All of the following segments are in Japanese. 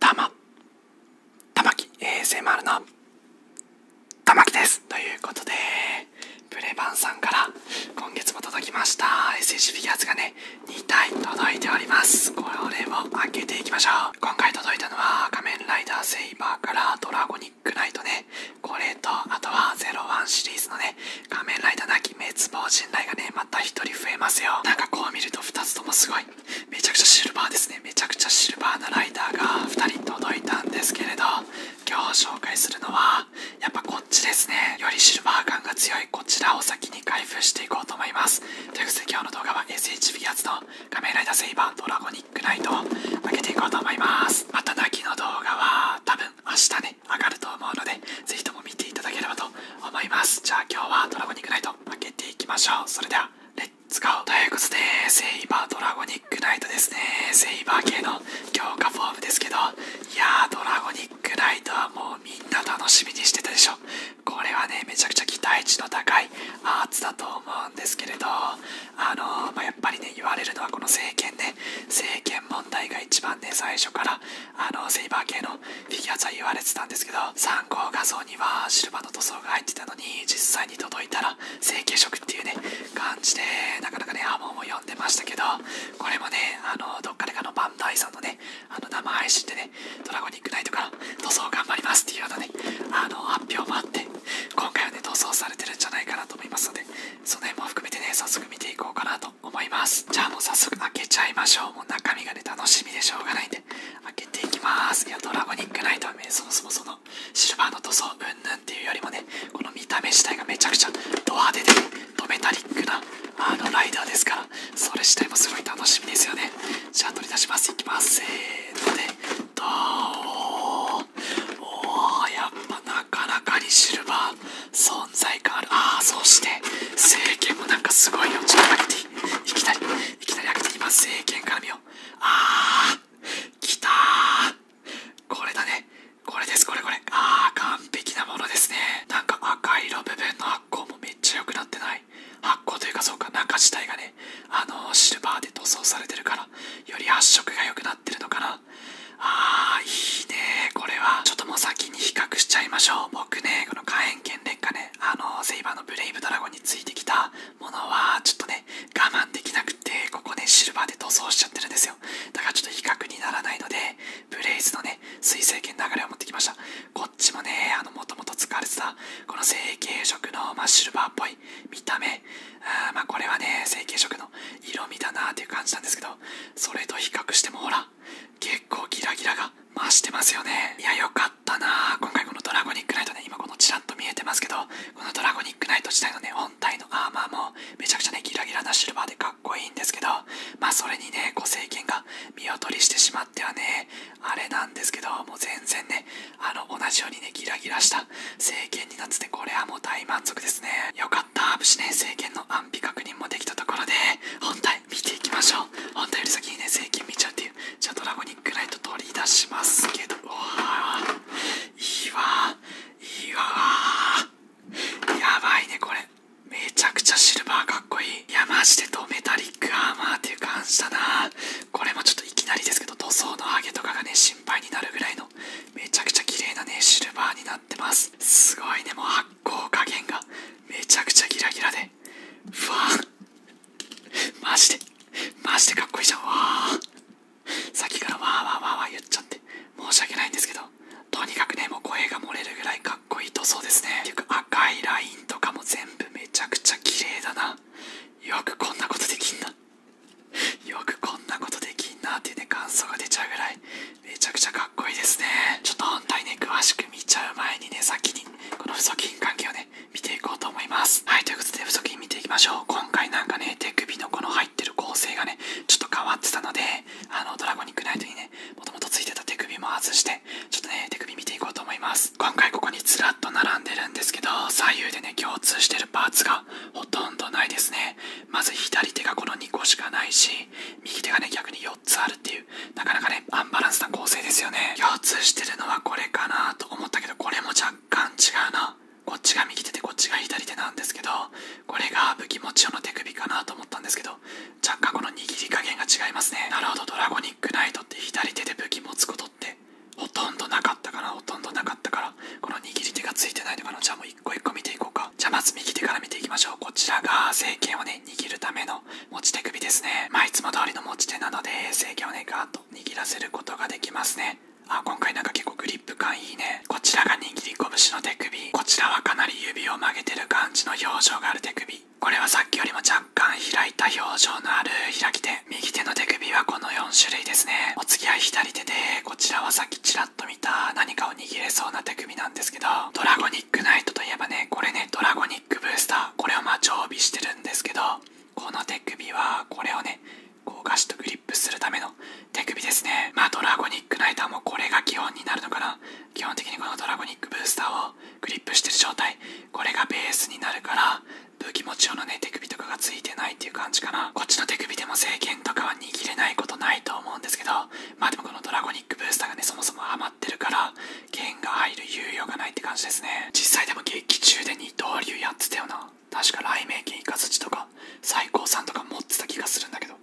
たま。たまき、衛星丸のたまきですということでプレバンさんから今月も届きました SH フィギュアーズがね2体届いておりますこれを開けていきましょう今回届いたのは仮面ライダーセイバーからドラゴニックナイトねこれとあとは01シリーズのね仮面ライダーな鬼滅亡人雷がねまた1人増えますよなんかこう見ると2つともすごいめちゃくちゃシルバーですねめちゃくちゃシルバーなライダーが2人届いたんですけれど今日紹介するのはやっぱこっちですねよりシルバー感が強いこちらを先に開封していこうと思いますということで今日の動画は SH v 8の仮面ライダーセイバードラゴニックナイトを開けていこうと思いますまた泣きの動画は多分明日ね上がると思うのでぜひとも見ていただければと思いますじゃあ今日はドラゴニックナイト開けていきましょうそれではレッツゴーということでセイバードラゴニックナイトですねセイバー系の強化フォームですけどいやードラゴニッグナイトはもうみんな楽しみにしてたでしょこれはねめちゃくちゃ期待値の高いアーツだと思うんですけれどあのまやっぱりね言われるのはこの政権ね政権問題が一番ね最初からあのセイバー系のフィギュアズは言われてたんですけど参考画像にはシルバーの塗装が入ってたのに実際に届いたら成形色っていうね感じでなかなかね波紋を呼んでましたけどこれもね、あの、どっかでかのバンダイさんのね、あの、生配信でね、ドラゴニックナイトから塗装頑張りますっていうようあの、発表もあって、今回はね、塗装されてるんじゃないかなと思いますので、その辺も含めてね、早速見ていこうかなと思います。じゃあもう早速開けちゃいましょう。もう中身がね、楽しみでしょうがないんで、開けていきます。いや、ドラゴニックナイトはね、そもそもその、シルバーの塗装うんぬんっていうよりもね、この見た目自体がめちゃくちゃド派手で、ドメタリックなあのライダーですからそれ自体もすごい楽しみですよねじゃあ取り出しますいきますせーのでどーおおやっぱなかなかにシルバー存在感あるああそして聖剣もなんかすごいよちょっと開けていきたい。いきなり開けていきます聖剣かよああきたこれだねこれですこれこれあ完璧なものですねなんか赤色部分の発酵もめっちゃ良くなってない発酵というかそうか中自体がねあのシルバーで塗装されてるからより発色が良くなってるのかなあーいいねこれはちょっともう先に比較しちゃいましょう僕ねこの火炎剣劣化ねあのセイバーのブレイブドラゴンについてきたものはちょっとね我慢できなくてここねシルバーで塗装しちゃってるんですよだからちょっと比較にならないのでブレイズのね、水星系流れを持ってきました。こっちもね、あの、もともと使われてた、この成形色の、まシルバーっぽい見た目。あまこれはね、成形色の色味だなっていう感じなんですけど、それと比較してもほら、結構ギラギラが増してますよね。いや、よかったな今回このドラゴニックナイトね、今このちらっと見えてますけど、このドラゴニックナイト自体のね、本体のアーマーも、めちゃくちゃね、ギラギラなシルバーでかっこいいんですけどまあそれにねご政権が見劣りしてしまってはねあれなんですけどもう全然ねあの同じようにねギラギラした政権になっててこれはもう大満足ですねよかった無事ね政権の安否確認もできたところで本体見ていきましょう本体より先にね政権見ちゃうっていうじゃあドラゴニックライト取り出しますけどうわいいわいいわやばいねこれめちゃくちゃシルバーかっこいい。いや、マジでドメタリックアーマーっていう感じだな。これもちょっといきなりですけど、塗装の上げとかがね、心配になるぐらいの、めちゃくちゃ綺麗なね、シルバーになってます。すごいね、もう発光加減が、めちゃくちゃギラギラで。ふわー。マジで、マジでかっこいいじゃん。わー。さっきからわーわーわーわー言っちゃって、申し訳ないんですけど、とにかくねもう声が漏れるぐらいかっこいい塗装ですねていうか赤いラインとかも全部めちゃくちゃ綺麗だなよくこんなことできんなよくこんなことできんなっていうね感想が出ちゃうぐらいめちゃくちゃかっこいいですねちょっと本体ね詳しく見ちゃう前にね先にこの不足金関係をね見ていこうと思いますはいということで不足金見ていきましょう今回なんかね手首のこの入ってる構成がねちょっと変わってたのであのドラゴニックナイトにねもともと付いてた手首も外してちょっとね手首見ていこうと思います今回ここにずらっと並んでるんですけど左右でね共通してるパーツがほとんどないですねまず左手がこの2個しかないし右手がね逆に4つあるっていうなかなかねアンバランスな構成ですよね共通してるのはこれかなと思ったけどこれも若干違うなこっちが右手でこっちが左手なんですけどこれが武器持ち用の手首かなと思ったんですけど若干この握り加減が違いますねなるほどドラゴニックナイトって左手で武器持つことってほとんどなかったかな？ほとんどなかったからこの握り手がついてないのかの。じゃあもう一個一個見ていこうかじゃあまず右手から見ていきましょうこちらが聖剣をね握るための持ち手首ですねまあいつも通りの持ち手なので聖剣をねガーッと握らせることができますねあ今回なんか結構グリップ感いいねこちらが握握り拳の手首こちらはかなり指を曲げてる感じの表情がある手首これはさっきよりも若干開いた表情のある開き手右手の手首はこの4種類ですねお次は左手でこちらはさっきちらっと見た何かを握れそうな手首なんですけどドラゴニックナイトといえばねこれねドラゴニックブースターこれをまあ常備してるんですけどこの手首はこれをねこうガシとグリップするための手首ですねまあドラゴニックナイターもこれが基本になるのかな基本的にこのドラゴニックブースターをグリップしてる状態これがベースになるから武器持ち用のね手首とかが付いてないっていう感じかなこっちの手首でも制限とかは握れないことないと思うんですけどまあでもこのドラゴニックブースターがねそもそも余ってるから剣が入る猶予がないって感じですね実際でも劇中で二刀流やってたよな確か雷鳴剣イカズチとか最高さんとか持ってた気がするんだけど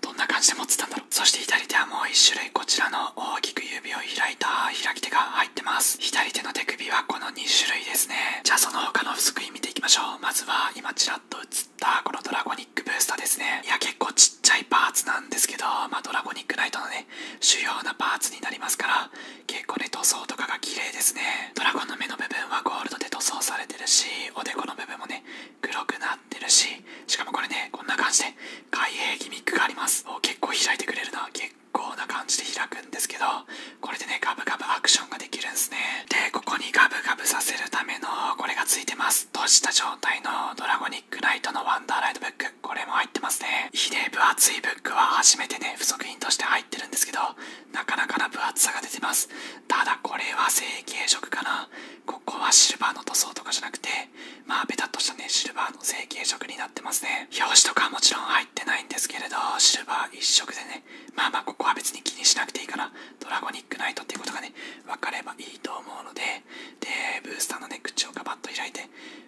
どんな感じで持ってたんだろうそして左手はもう1種類こちらの大きく指を開いた開き手が入ってます左手の手首はこの2種類ですねじゃあその他のスクリ見ていきましょうまずは今ちらっと映ったこのドラゴニックブースターですねいや結構ちっちゃいパーツなんですけどまあドラゴニックナイトのね主要なパーツになりますから結構ね塗装とかが綺麗ですねドラゴンの目の部分はゴールドで塗装されてるしおでこの部分もね黒くななるししかもこれねこんな感じで開閉ギミックがあります結構開いてくれるな結構な感じで開くんですけどこれでねガブガブアクションができるんすねでここにガブガブさせるためのこれがついてます閉じた状態のドラゴニックライトのワンダーライトブックこれも入ってますねいで分厚いブックは初めてね付属品として入ってるんですけどなかなかな分厚さが出てますただこれは成型色かなここはシルバーの塗装とかじゃなくてまあペタッとしたねシルバーの成型色になってますね表紙とかはもちろん入ってないんですけれどシルバー一色でねまあまあここは別に気にしなくていいからドラゴニックナイトっていうことがねわかればいいと思うのででブースターのね口をガバッと開いて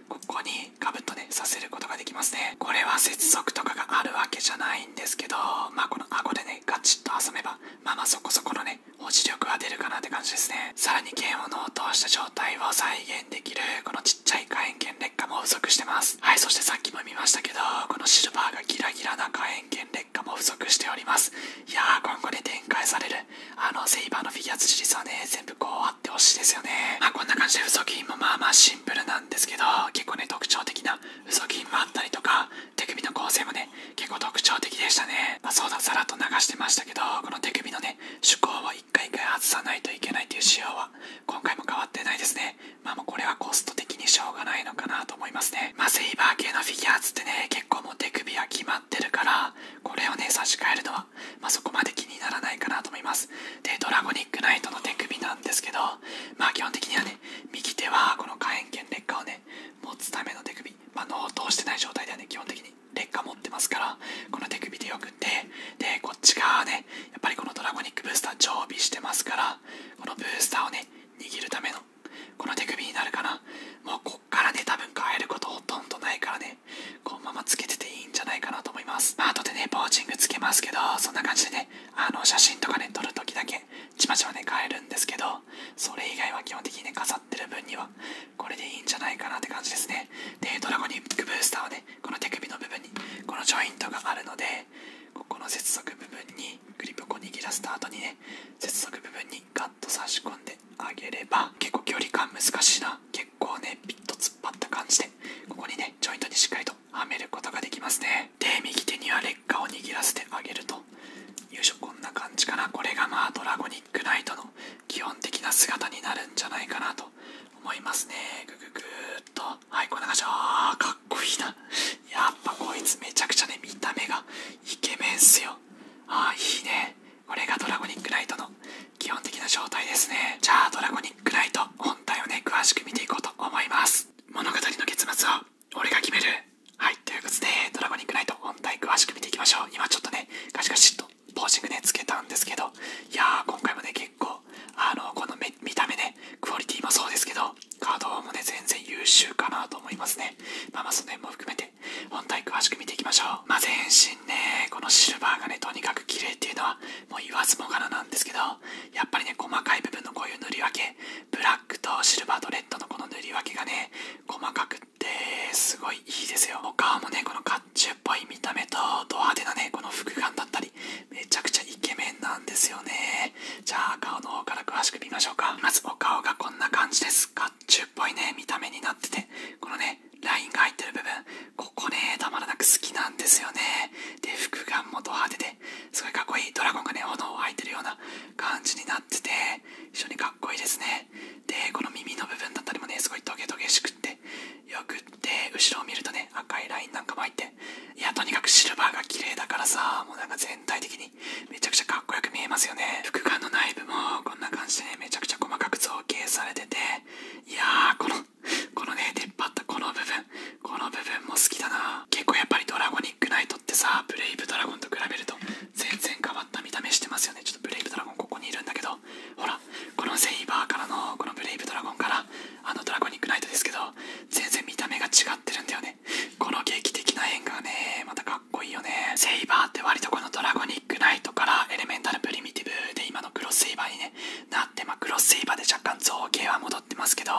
ここにガブッとねさせることができますねこれは接続とかがあるわけじゃないんですけどまあこの顎でねガチッと挟めばまあまあそこそこのねはい力は出るかなって感じですねさらに剣を脳をした状態を再現できるこのちっちゃい火炎剣劣化も不足してますはいそしてさっきも見ましたけどこのシルバーがギラギラな火炎剣劣化も不足しておりますいやー今後ね。展開されるあのセイバーのフィギュアシリーズはね全部こうあってほしいですよねまあこんな感じでウソキもまあまあシンプルなんですけど結構ね特徴的なウソキもあったりとか手首の構成もね結構特徴的でしたね、まあ、そうださらっと流してましたけどこの手首のね趣向を一回一回外さないといけないっていう仕様は今回も変わってないですねまあもうこれはコスト的にしょうがないのかなと思いますねまあセイバー系のフィギュアーズってね結構もう手首は決まってるからこれをね差し替えるのは、まそこまで気にならないかなと思いますでドラゴニックナイトの手首なんですけどまあ基本的にはね右手はこの火炎剣劣化をね持つための手首あ、脳通してない状態ではね基本的に劣化持ってますからこの手首でよくってでこっち側ねやっぱりこのドラゴニックブースター常備してますからこのブースターをね握るためのこの手首になるかなもうこっからね多分変えることほとんどないからねこのままつけてていいんじゃないかなと思います、あ後でねポーチングつけますけどそんな感じでねあの写真とかね撮る時だけちまちまね変えるんですけどそれ以外は基本的にね重てる分にはこれでいいんじゃないかなって感じですねでドラゴニックブースターはねこの手首の部分にこのジョイントがあるのでここの接続部分にグリップを握らせた後にね接続部分にガッと差し込んであげれば結構距離感難しいな結構ねピッと突っ張った感じでここにねジョイントにしっかりとはめることができますねで右手には劣化を握らせてあげるとよいしょこんな感じかなこれがまあドラゴニックライトの基本的な姿になるんじゃないかなと思いますねグググーっとはいこんな感じああかっこいいなやっぱこいつめちゃくちゃね見た目がイケメンっすよああ、いいねこれがドラゴニックライトの基本的な状態ですねじゃあドラゴニックライト本体をね詳しく見ていこうと思います物語の結末は俺が決めるはい、ということで、ドラゴニックナイト本体詳しく見ていきましょう。今ちょっとね、ガシガシっとポージングね、つけたんですけど、いやー、今回もね、結構、あの、この見た目ね、クオリティもそうですけど、カードもね、全然優秀かなと思いますね。まあまあ、その辺も含めて、本体詳しく見ていきましょう。まあ、全身ね、このシルバーがね、とにかく綺麗っていうのは、もう言わずもがななんですけど、やっぱりね、細かい部分のこういう塗り分け、ブラックとシルバーとレッドのこの塗り分けがね、細かくですごいいいですよお顔もねこの甲冑っぽい見た目とド派手なねこの服眼だったりめちゃくちゃイケメンなんですよねじゃあ顔の方から詳しく見ましょうかまずお顔がこんな感じです甲冑っぽいね見た目になっててこのねラインが入ってる部分ここねたまらなく好きなんですよねで服眼もド派手ですごいかっこいいドラゴンがね炎を吐いてるような感じになな非常にかっこいいですねでこの耳の部分だったりもねすごいトゲトゲしくってよくって後ろを見るとね赤いラインなんかも入っていやとにかくシルバーが綺麗だからさもうなんか全体的にめちゃくちゃかっこよく見えますよね副眼の内部もこんな感じでねめちゃくちゃ細かく造形されてていやーこのこのね出っ張ったこの部分この部分も好きだな結構やっぱりドラゴニックナイトってさブレイブドラゴンと比べると全然変わった見た目してますよねちょっとブレイブドラゴンここにいるんだけどほらこのセイバーからのこのブレイブドラゴンからあのドラゴニックナイトですけど全然見た目が違ってるんだよねこの劇的な変化がねまたかっこいいよねセイバーって割とこのドラゴニックナイトからエレメンタルプリミティブで今のクロスセイバーにねなってまクロスセイバーで若干造形は戻ってますけど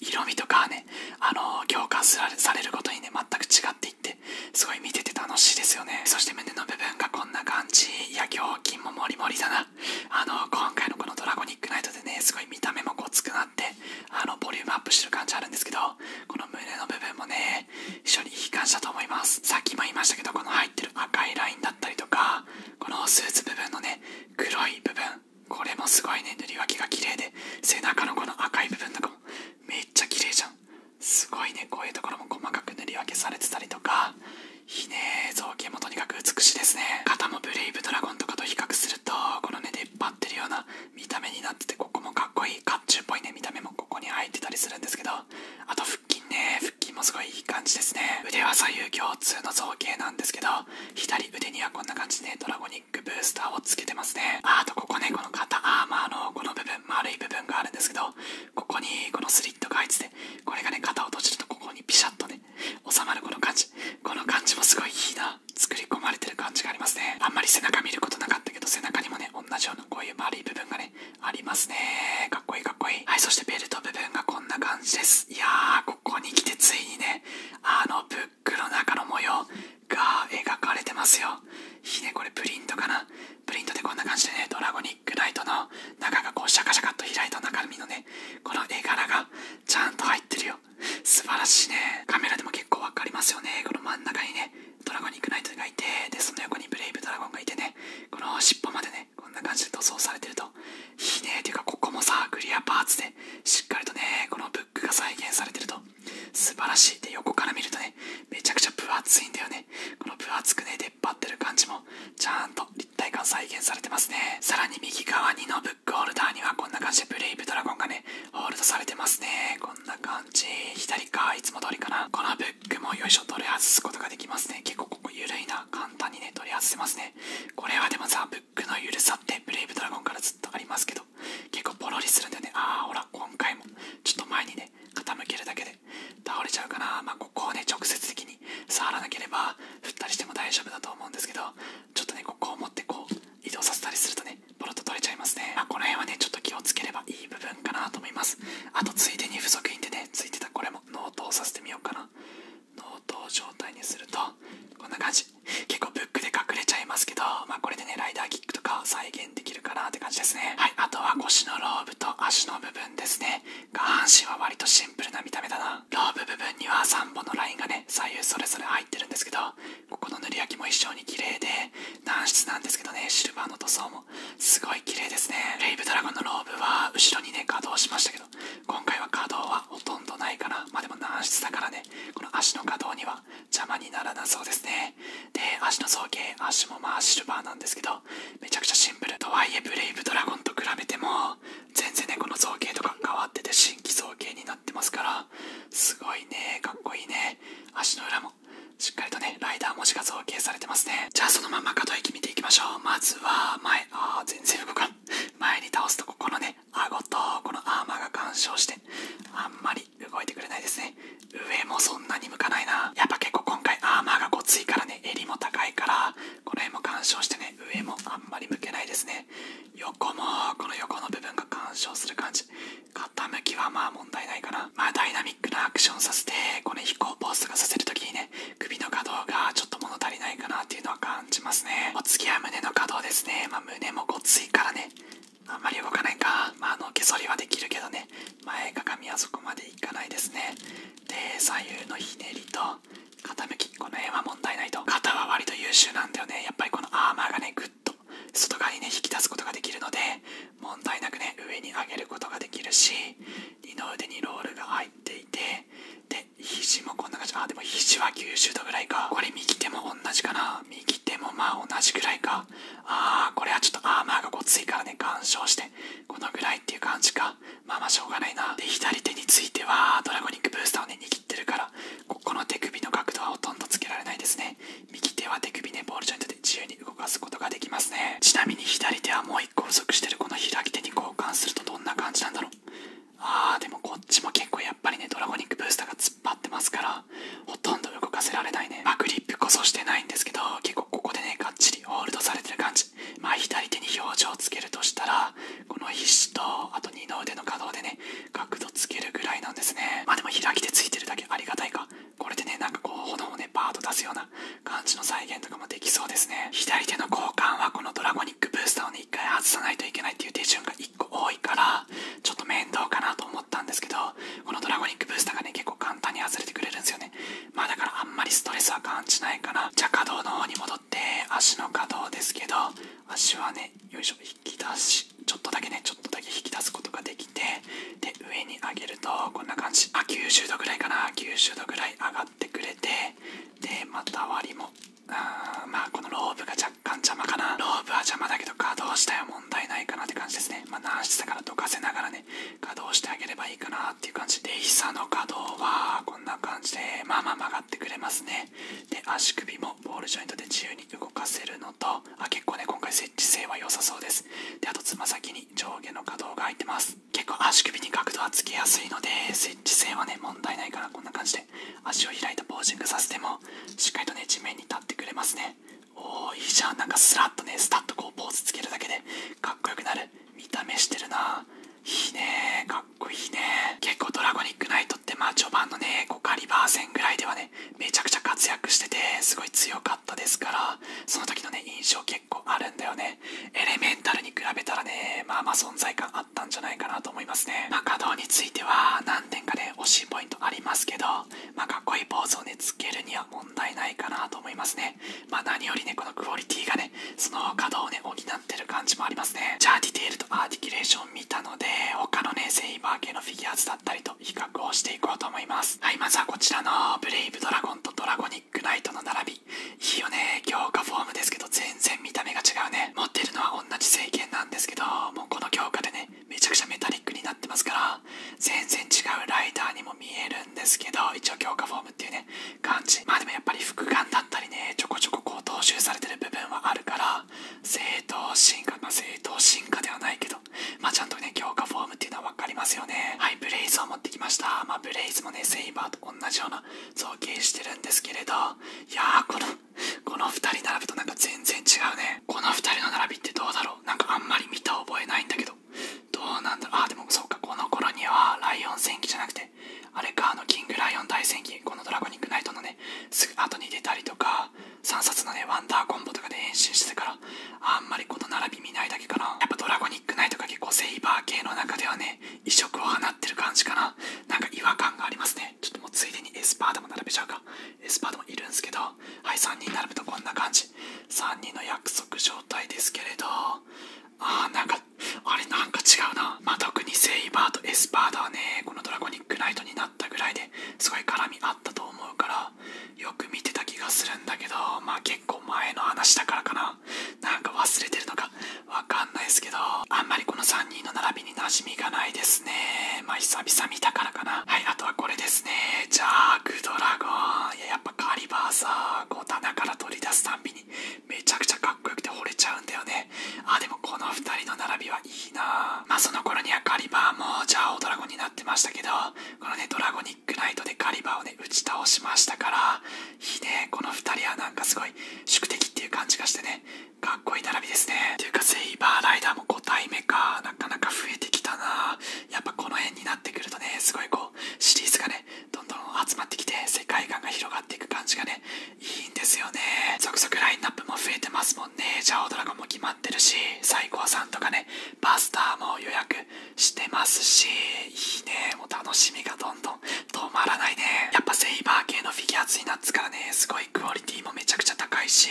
色味とかはねあの強化されることにね全く違ってってすごい見てて楽しいですよねそして胸の部分がこんな感じいや胸筋もモリモリだなあの今回のこの「ドラゴニックナイト」でねすごい見た目もごつくなってあのボリュームアップしてる感じあるんですけどこの胸の部分もね非常にいい感じだと思いますさっきも言いましたけどこの入ってる赤いラインだったりとかこのスーツ部分のね黒い部分これもすごいね塗り分けが綺麗で背中のこの赤い部分とかもめっちゃ綺麗じゃんすごいねこういうところも細かく塗り分けされてたりとかひね造形もとにかく美しいですね肩もブレイブドラゴンとかと比較するとこのね引っ張ってるような見た目になっててここもかっこいい甲冑っぽいね見た目もここに入ってたりするんですけどあと腹筋ね腹筋もすごいいい感じですね腕は左右共通の造形なんですけど左腕にはこんな感じで、ね、ドラゴニックブースターを付けてますねあとここねこの肩アーマーのこの部分丸い部分があるんですけどここにこのスリットが入っててこれがね肩を閉じるとここにピシャッとね収まるこの感じこの感じもすごいいいな作り込まれてる感じがありますねあんまり背中見ることなかったけど背中にもね同じようなこういう丸い部分がねありますねかっこいいかっこいいはいそしてベルト部分がこんな感じですいやーここに来てついにねあのブックの中の模様が描かれてますよひねこれプリントかなプリントでこんな感じでね、ドラゴニックライトの中がこうシャカシャカっと開いた中身のね、この絵柄がちゃんと入ってるよ。素晴らしいね。カメラでも結構わかりますよね。この真ん中にね、ドラゴニックライトがいて、で、その横にブレイブドラゴンがいてね、この尻尾までね、こんな感じで塗装されてると。ひねっていうか、ここもさ、クリアパーツで、しっかりとね、このブックが再現されてると。素晴らしい。で、横から見るとね、めちゃくちゃ分厚いんだよね。この分厚くね出っ張ってる感じもちゃんと立体感再現されてますねさらに右側にのブックホルダーにはこんな感じでブレイブドラゴンがねホールドされてますねこんな感じ左かいつも通りかなこのブックもよいしょ取り外すことができますね結構ここ緩いな簡単にね取り外せますねこれはでもさブックの緩さってブレイブドラゴンからずっとありますけど結構ポロリするんだよねああほら今回もちょっと前にね傾けるだけで倒れちゃうかな、まここをね直接的に触らなければ振ったりしても大丈夫だと思うんですけどちょっとねここを持ってこう移動させたりするとねボロッと取れちゃいますね、あ、この辺はねちょっと気をつければいい部分かなと思いますあとついでに付属品でねついてたこれも納刀させてみようかな納刀状態にするとこんな感じ結構ブックで隠れちゃいますけど、まあ、これでねライダーキックとか再現できるかなって感じですねはいあとは腰のローブと足の部分ですね下半身は割とシンプルな見た目だなローブ部分には3本のラインがね左右それぞれ入ってるんですけどここの塗り焼きも一緒に綺麗で軟質なんですけどねシルバーの塗装もすごい綺麗ですねレイブドラゴンのローブは後ろにね稼働しましたけど今回は稼働はほとんどないかなまでも軟質だからねこの足の稼働には邪魔にならなそうですねで足の造形足もまあシルバーなんですけどめちゃくちゃシンプルとはいえブレイブドラゴンと比べても全然ねこの造形とか変わってて新規造形になってますからすごいねかっこいいね足の裏もしっかりとねライダー文字が造形されてますねじゃあそのまま可動域見ていきましょうまずは前ああ全然動かん前に倒すとここのね顎とこのアーマーが干渉してあんまり動いてくれないですね上もそんなに向かないなやっぱ結構今回アーマーがごついからね襟も高いからこの辺も干渉してね上もあんまり向けないですね横もこの横の部分が干渉する感じ傾きはまあ問題ないかなまあダイナミックなアクションさせてこの飛行ポーズがさせるときにね首の可動がちょっと物足りないかなっていうのは感じますねお次は胸の可動ですねまあ胸もごついからねあんまり動かないかまああの毛剃りはできるけどね前かがみはそこまでいかないですねで左右のひねりと傾きこの辺は問題ないと肩は割と優秀なんだよねやっぱりこのアーマーがねぐっと外側にね引き出すことができるので問題なくね上に上げることができるし二の腕にロールが入っていてで肘もこんな感じあでも肘は90度ぐらいかこれ右手も同じかな右手もまあ同じぐらいかああこれはちょっとアーマーがごついからね干渉してこのぐらいっていう感じかまあまあしょうがないなで左手についてはドラゴニックブースターをね握ってるからここの手首の角度はほとんどつけられないですね右手は手首ねボールジョイントで自由に動かすことができますねちなみに左手はもう1個不足してるこの開き手に交換するとどんな感じなんだろうあーでもこっちも結構やっぱりねドラゴニックブースターが突っ張ってますからほとんど動かせられないね、まあ、クリップこそしてないんですけど結構ここでねがっちりホールドされてる感じまあ左手に表情をつけるとしたらこの皮脂とあと二の腕の可動でね角度つけるぐらいなんですねまあでも開き手ついてるだけありがたいかこれでねなんかこう炎をねバーッと出すような感じの再現とかもできそうですね左手の交換はこのドラゴニックブースターをね一回外さないといけないっていう手順が1個多いからちょっと面倒かなと思ったんですけどこのドラゴニックブースターがね結構簡単に外れてくれるんですよねまあだからあんまりストレスは感じないかなじゃあ可動の方に戻って足の可動ですけど足はねよいしょ引き出しちょっとだけねちょっとだけ引き出すことができてで上に上げるとこんな感じあ90度ぐらいかな90度ぐらい上がってくれてでまた割りもああ、まあこのロープが若干邪魔かなロープは邪魔だけど稼働したよ問題ないかなって感じですねまあ軟質だからどかせながらね稼働してあげればいいかなっていう感じで膝の可動はこんな感じでまあまあ曲がってくれますねで足首もボールジョイントで自由に動かせるのとあ結構ね今回設置性は良さそうですであとつま先に上下の可動が入ってます結構足首に角度はつけやすいので設置性はね問題ないからこんな感じで足を開いたポージングさせてもしっかりとね地面に立ってくれますねおーいいじゃんなんかスラッとねスタッとこうポーズつけるだけでかっこよくなる見た目してるないいねかっこいいね結構ドラゴニックナイトってまあ序盤のね5カリバー戦ぐらいではねめちゃくちゃ活躍しててすごい強かったですからその時のね印象結構あるんだよねエレメンタルに比べたらねまあまあ存在感あったんじゃないかなと思いますねまあ稼働については何点かね惜しいポイントありますけどまあかっこいいポーズをねつけるには問題ないかなと思いますね。ま何よりね、このクオリティがね、その可をね、補ってる感じもありますね。じゃあディテールとアーティキュレーション見たので、他のね、セイバー系のフィギュアーズだったりと比較をしていこうと思います。はい、まずはこちらのブレイブドラゴンとドラゴニックナイトの並び。いいよね、強化フォームですけど全然見た目が違うね。持ってるのは同じ聖剣なんですけど、もうこの強化でね、めちゃくちゃメタリックになってますから、全然違うライダーにも見えるんですけど一応強化フォームっていうね感じまあでもやっぱり複眼だったりねちょこちょここう踏襲されてる部分はあるから正当進化まあ正当進化ではないけどまあちゃんとね強化フォームっていうのは分かりますよねはいブレイズを持ってきましたまあブレイズもねセイバーと同じような造形してるんですけれどいやーこのこの2人並ぶとなんか全然違うねこの2人の並びってどうだろうなんかあんまり見た覚えないんだけどどうなんだああでもそうかこの頃にはライオン戦記じゃなくてあれかあのキングライオン大戦記このドラゴニックナイトのねすぐ後に出たりとか3冊のねワンダーコンボとかで変身してたからあんまりこの並び見ないだけかなやっぱドラゴニックナイトが結構セイバー系の中ではね異色を放ってる感じかななんか違和感がありますねちょっともうついでにエスパーダも並べちゃうかエスパーダもいるんすけどはい3人並ぶとこんな感じ3人の約束状態ですけれどあーなんかあれなんか違うなま特にセイバーとエスパーダはねこのドラゴニックナイトになったぐらいですごい絡みあったと思うからよく見てた気がするんだけどまあ結構前の話だからかななんか忘れてるのかわかんないですけどあんまりこの3人の並びに馴染みがないですねまあ久々見たからかなはいあとはこれですねジャあクドラゴンいややっぱカリバーさこう棚から取り出すたんびにめちゃくちゃかっこよくて惚れちゃうんだよねあでもこの2人の並びはいいなまあその頃にはカリバーもジャオドラゴンになってましたけどこのねドラゴニックナイトでガリバーをね打ち倒しましたからいいねこの2人はなんかすごい宿敵っていう感じがしてねかっこいい並びですねというかセイバーライダーも5体目かなかなか増えてきたなやっぱこの辺になってくるとねすごいこうシリーズがねどんどん集まってきて世界観が広がっていく感じがねいいんですよね続々ラインナップも増えてますもんねジャオドラゴンも決まってるし最高さんとかねバスターも予約してますしいいねもう楽しみがどんどん止まらないねやっぱセイバー系のフィギュアツになっつからねすごいクオリティもめちゃくちゃ高いし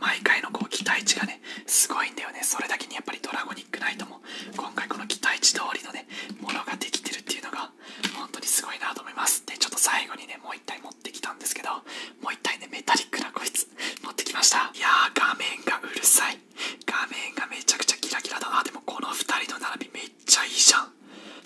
毎回のこう期待値がねすごいんだよねそれだけにやっぱりドラゴンニックナも今回この期待値通りのねものができてるっていうのが本当にすごいなと思いますでちょっと最後にねもう一体持ってきたんですけどもう一体ねメタリックなこいつ持ってきましたいやー画面がうるさい画面がめちゃくちゃキラキラだなでもこの二人の並びめっちゃいいじゃん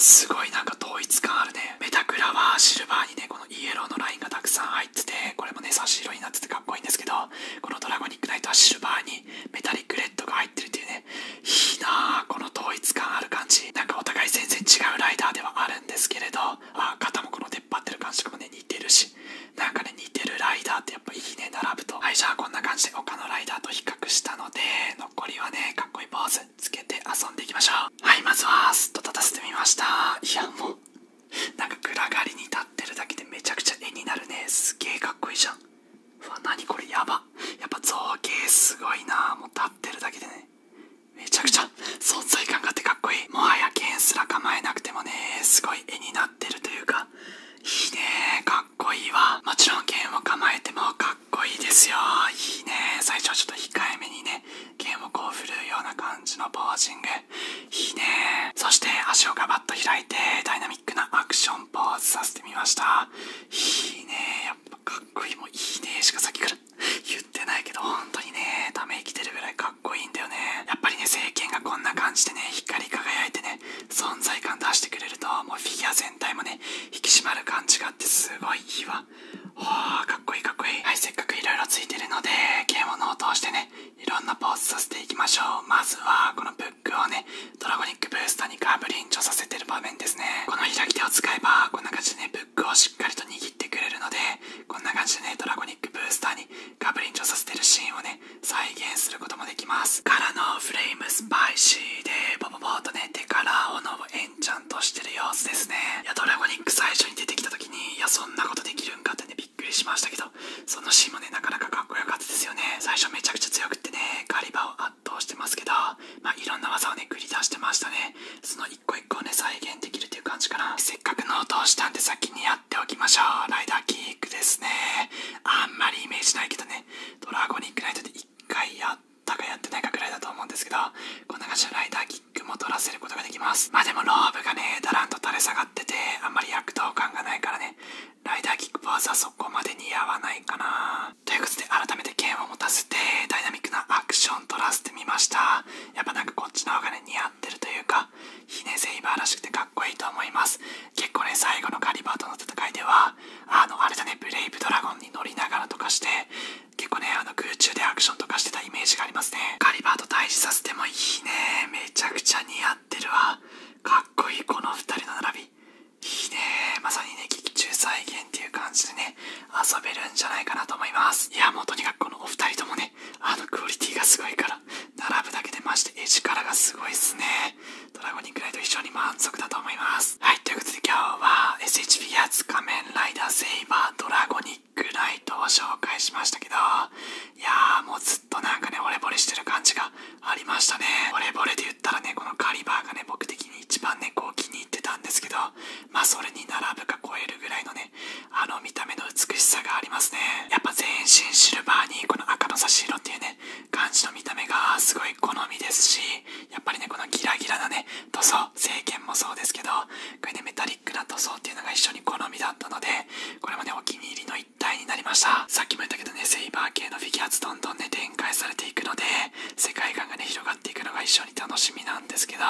すごいなんか統一感あるねメタクラはシルバーにねこのイエローのラインがたくさん入っててこれもね差し色になっててかっこいいんですけどこのドラゴニックナイトはシルバーにメタリックレッドが入ってるっていうねいいなあこの統一感ある感じなんかお互い全然違うライダーではあるんですけれどあ肩もこの出っ張ってる感触もね似てるしなんかね似てるライダーってやっぱいいね並ぶとはいじゃあこんな感じで他のライダーと比較したので残りはねかっこいいポーズつけて遊んでいきましょうはいまずはスッと立たせてみましたいやもうなんか暗がりに立ってるだけでめちゃくちゃ絵になるねすげえかっこいいじゃん何これやばやっぱ造形すごいなもう立ってるだけでねめちゃくちゃ存在感があってかっこいいもはや剣すら構えなくてもねすごい絵になってるというかいいねかっこいいわもちろん剣を構えてもかっこいいですよいいね最初はちょっと控えめにね剣をこう振るうような感じのポージングいいねそして足をガバッと開いてダイナミックなアクションポーズさせてみましたいいねやっぱかっこいいもいいねしかさっきから言ってないけど本当にねためきてるぐらいかっこいいんだよねやっぱりね政権がこんな感じでね光り輝いてね存在感出してくれるともうフィギュア全体もね引き締まる感じがあってすごいいいわはあかっこいいかっこいいはいせっかくいろいろついてるのでゲームを通してねいろんなポーズさせていきましょうまずはこのブックをねドラゴニックブースターにガブリンチョさせてる場面ですねこの開き手を使えばこんな感じでねブックをしっかりと握ってくれるのでこんな感じでねドラゴニックブースターにガブリンチョさせてるシーンをね再現することもできますからのフレームスパイシーでボボボーとね手から斧をエンチャントしてる様子ですねいやドラゴニック最初に出てきた時にいやそんなことできるんかってねびっくりしましたけどそのシーンもねなかなかかっこよかったですよね最初めちゃくちゃ強くってねガリバを圧倒してますけどまあいろんな技をね繰り出してましたねその一個一個をね再現できるという感じかなせっかくノートをしたんで先にやっておきましょうライダーキックですねあんまりイメージないけどねドラゴニックライトで一回やったかやってないかくらいだと思うんですけどこんな感じでライダーキックも取らせることができますまあでもローブがねだらんと垂れ下がっててあんまり躍動感がないからねライダーキックパースはそこまで似合わないかなということで改めて剣を持たせてダイナミックなアクション取らせてみましたやっぱなんかこっちの方がね似合ってるというかひねセイバーらしくてかっこいいと思います結構ね最後のガリバーとの戦いではあのあれだねブレイブドラゴンに乗りながらとかして結構ねあの空中でアクションとかしてたイメージがありますねガリバーと対峙させてもいいねめちゃくちゃ似合ってるわかっこいいこの2人の並びいいねまさにね劇中再現っていう感じでね遊べるんじゃないかなと思いますいやもうとにかくこのお二人ともねあのクオリティがすごいから並ぶだけでまして絵力がすごいっすねドラゴニックライト非常に満足だと思いますはいということで今日は SH p ィ仮面ライダーセイバードラゴニックライトを紹介しましたけどいやーもうずっとなんかね惚れ惚れしてる感じがありましたねボレボレで言ったらねこのカリバーがね僕的に一番ねこう気に入ってたんですけどまあそれに並ぶか超えるぐらいのねあの見た目の美しさがありますねやっぱ全身シルバーにこの赤の差し色っていうね感じの見た目がすごい好みですしやっぱりねこのギラギラなね塗装聖剣もそうですけどこれねメタリックな塗装っていうのが一緒に好みだったのでこれもねお気に入りの一態になりましたさっきも言ったけどねセイバー系のフィギュアーズどんどんね展開されていくので世界観がね広がっていくのが一緒に楽しみなんですけど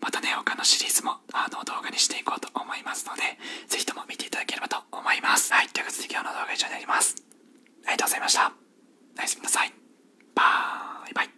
またね他のシリーズもあの動画にしていこうと思いますのでぜひとも見ていただければと思いますはいということで今日の動画は以上になりますありがとうございましたナイス、みなさいバイバイ